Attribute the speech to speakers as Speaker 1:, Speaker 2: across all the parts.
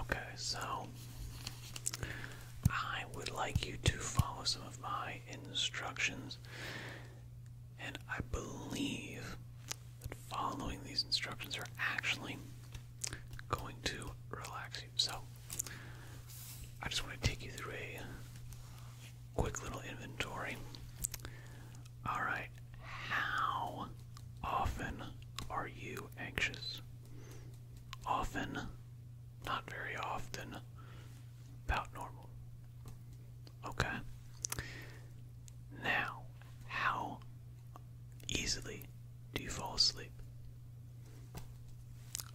Speaker 1: Okay, so I would like you to follow some of my instructions, and I believe that following these instructions are actually going to relax you. So I just want to take you through a quick little inventory. All right, how often are you anxious? Often, not very often, about normal. Okay? Now, how easily do you fall asleep?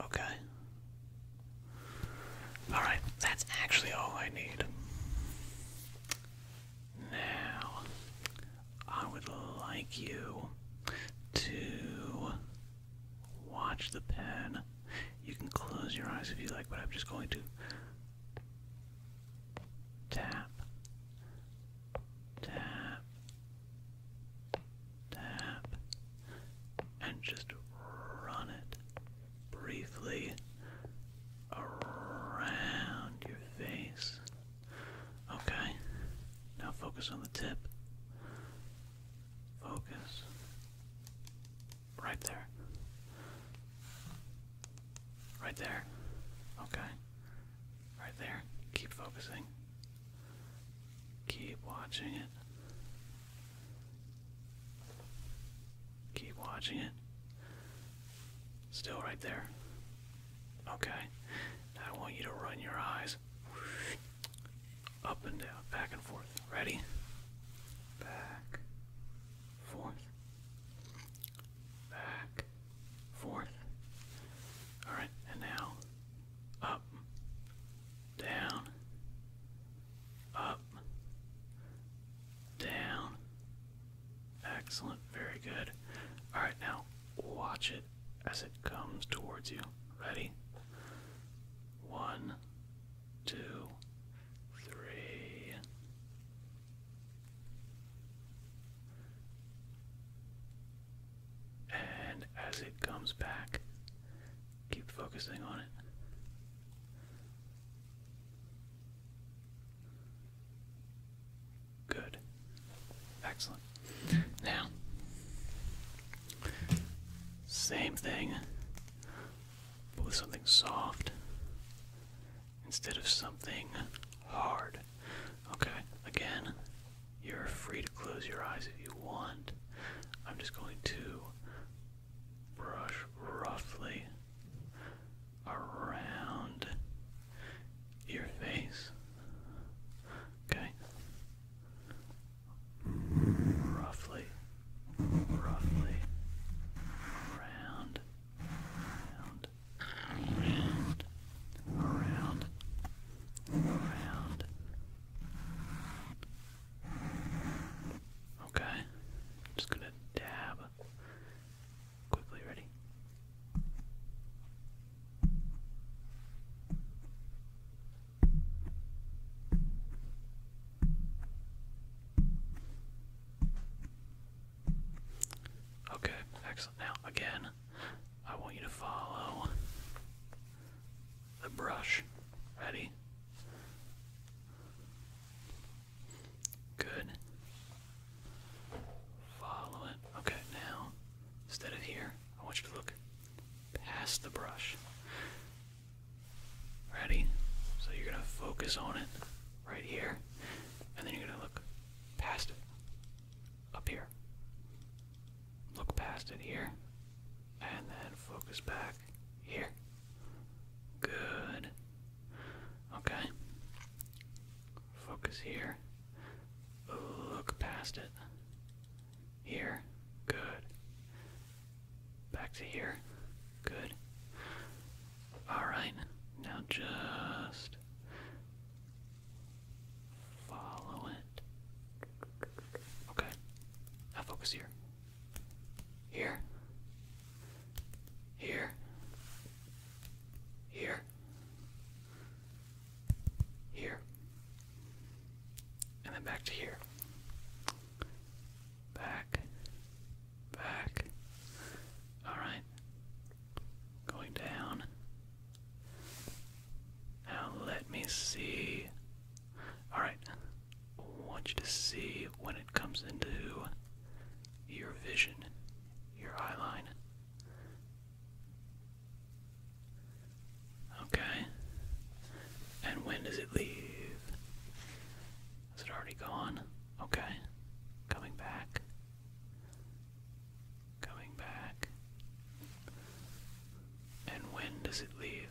Speaker 1: Okay? Alright, that's actually all I need. Now, I would like you to watch the pen. You can close your eyes if you like, but I'm just going to tap, tap, tap, and just run it briefly around your face. Okay. Now focus on the tip. Focus. Right there. Right there. Okay. Right there. Keep focusing. Keep watching it. Keep watching it. Still right there. Okay. I want you to run your eyes up and down, back and forth. Ready? Back, forth, back, forth. All right, and now up, down, up, down, Excellent, very good. Alright, now watch it as it comes towards you. Ready? One, two, three. And as it comes back, keep focusing on it. Good. Excellent. Now, same thing, but with something soft instead of something hard. Okay, again, you're free to close your eyes if you want. I'm just going to brush roughly around your face. Okay. Roughly, roughly around, around, around, around, around, Okay. Just gonna dab quickly, ready? Okay, excellent. Now, again, I want you to follow the brush. Ready? Good. Follow it. Okay, now, instead of here, I want you to look past the brush. Ready? So you're going to focus on it right here, and then you're going to look past it up here. Look past it here. And then focus back here. Good. Okay. Focus here. Look past it. Here. Good. Back to here. Good. Alright. Now just follow it. Okay. Now focus here. Here. Here. Here. Here. And then back to here. Back. Back. Alright. Going down. Now let me see. Alright. want you to see when it comes into your vision, your eye line. Okay. And when does it leave? Is it already gone? Okay. Coming back coming back. And when does it leave?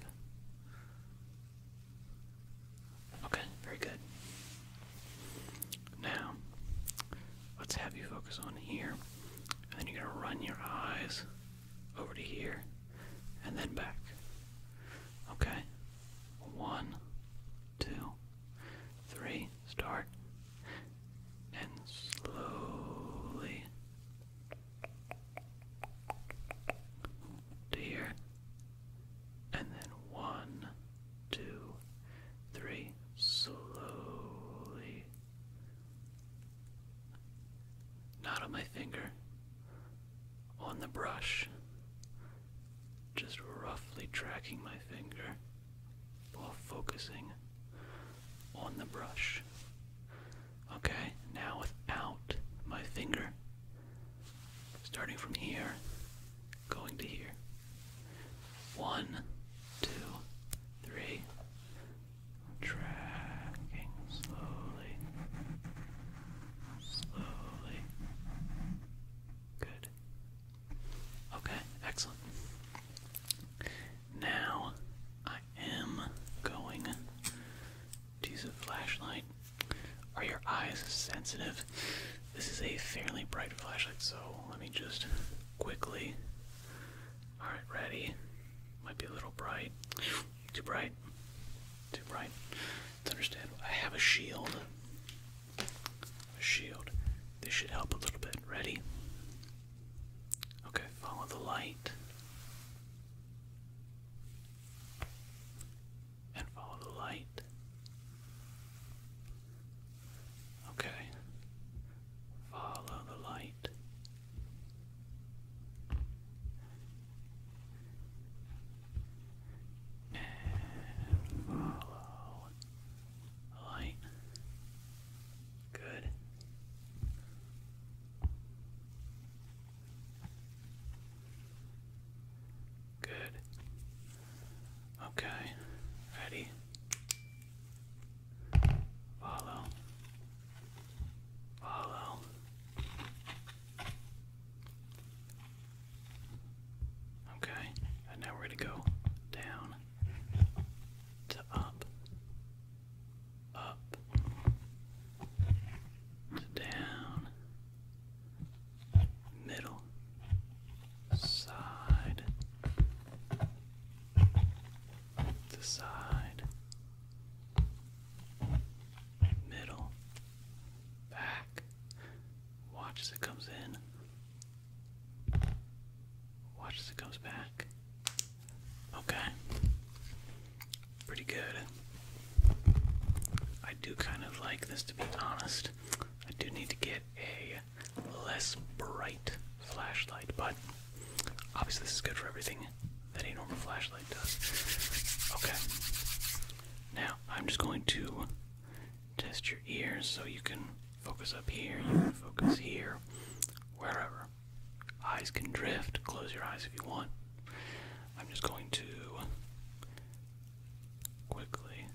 Speaker 1: Okay, very good. Now, let's have you focus on here. And then you're going to run your eyes over to here and then back. Okay? One, two, three, start and slowly to here, and then one, two, three, slowly. Not on my finger, on the brush, just roughly tracking my finger while focusing on the brush. Okay, now without my finger, starting from here, going to here. One, two, three. Tracking slowly. Slowly. Good. Okay, excellent. Now I am going to use a flashlight. Are your eyes sensitive? This is a fairly bright flashlight, so let me just quickly. Alright, ready. Might be a little bright. Too bright. Too bright. understandable. I have a shield. A shield. This should help a little bit. Ready? Okay, follow the light. And follow the light. Okay. Follow the light. And follow all right. Good. Good. Okay. Ready. Follow. Follow. Okay, and now we're going to go down to up, up to down, middle, side to side, middle, back. Watch as it comes in. Watch as it comes back. Okay. Pretty good. I do kind of like this to be honest. I do need to get a less bright flashlight, but obviously this is good for everything that a normal flashlight does. Okay. Now, I'm just going to test your ears so you can focus up here, you can focus here, wherever. Eyes can drift, close your eyes if you want. I'm just going to quickly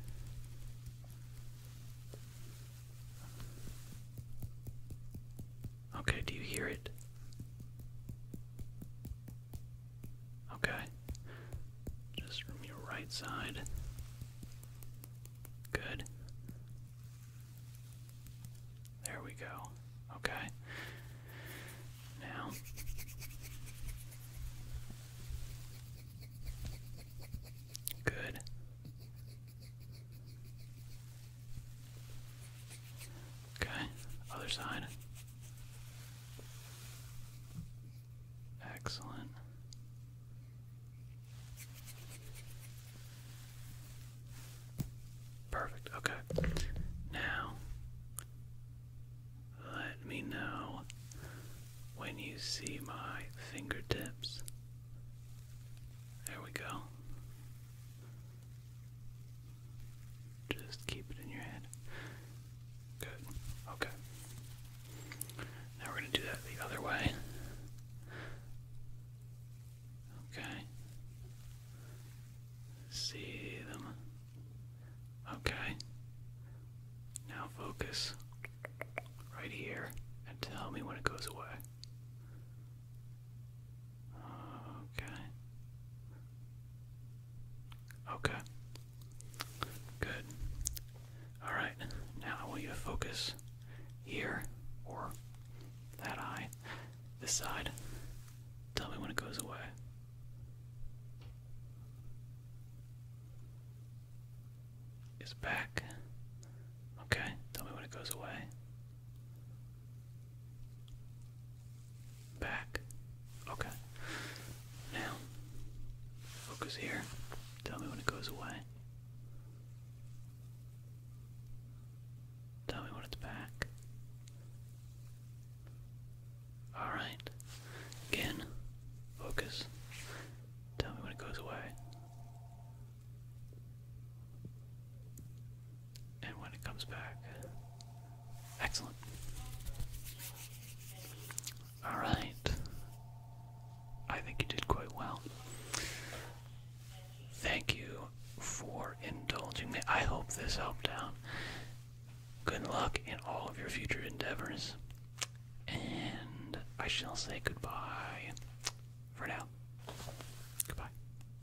Speaker 1: Okay, do you hear it? Okay. Just from your right side. Good. There we go. Okay. Now. Good. Okay. Other side. Excellent. Perfect. Okay. Now, let me know when you see my fingertips. There we go. Just keep it in your head. Good. Okay. Now we're going to do that the other way. Okay. See them. Okay. Now focus right here and tell me when it goes away. Okay. Okay. Good. Alright, now I you focus here or that eye, this side. Tell me when it goes away. It's back. Okay, tell me when it goes away. Back. Okay. Now, focus here. Tell me when it goes away. Tell me when it's back. Alright. Again, focus. Tell me when it goes away and when it comes back. Excellent. Alright. I think you did quite well. Thank you for indulging me. I hope this helped out. Good luck in all of your future endeavors. And I shall say goodbye for now. Goodbye.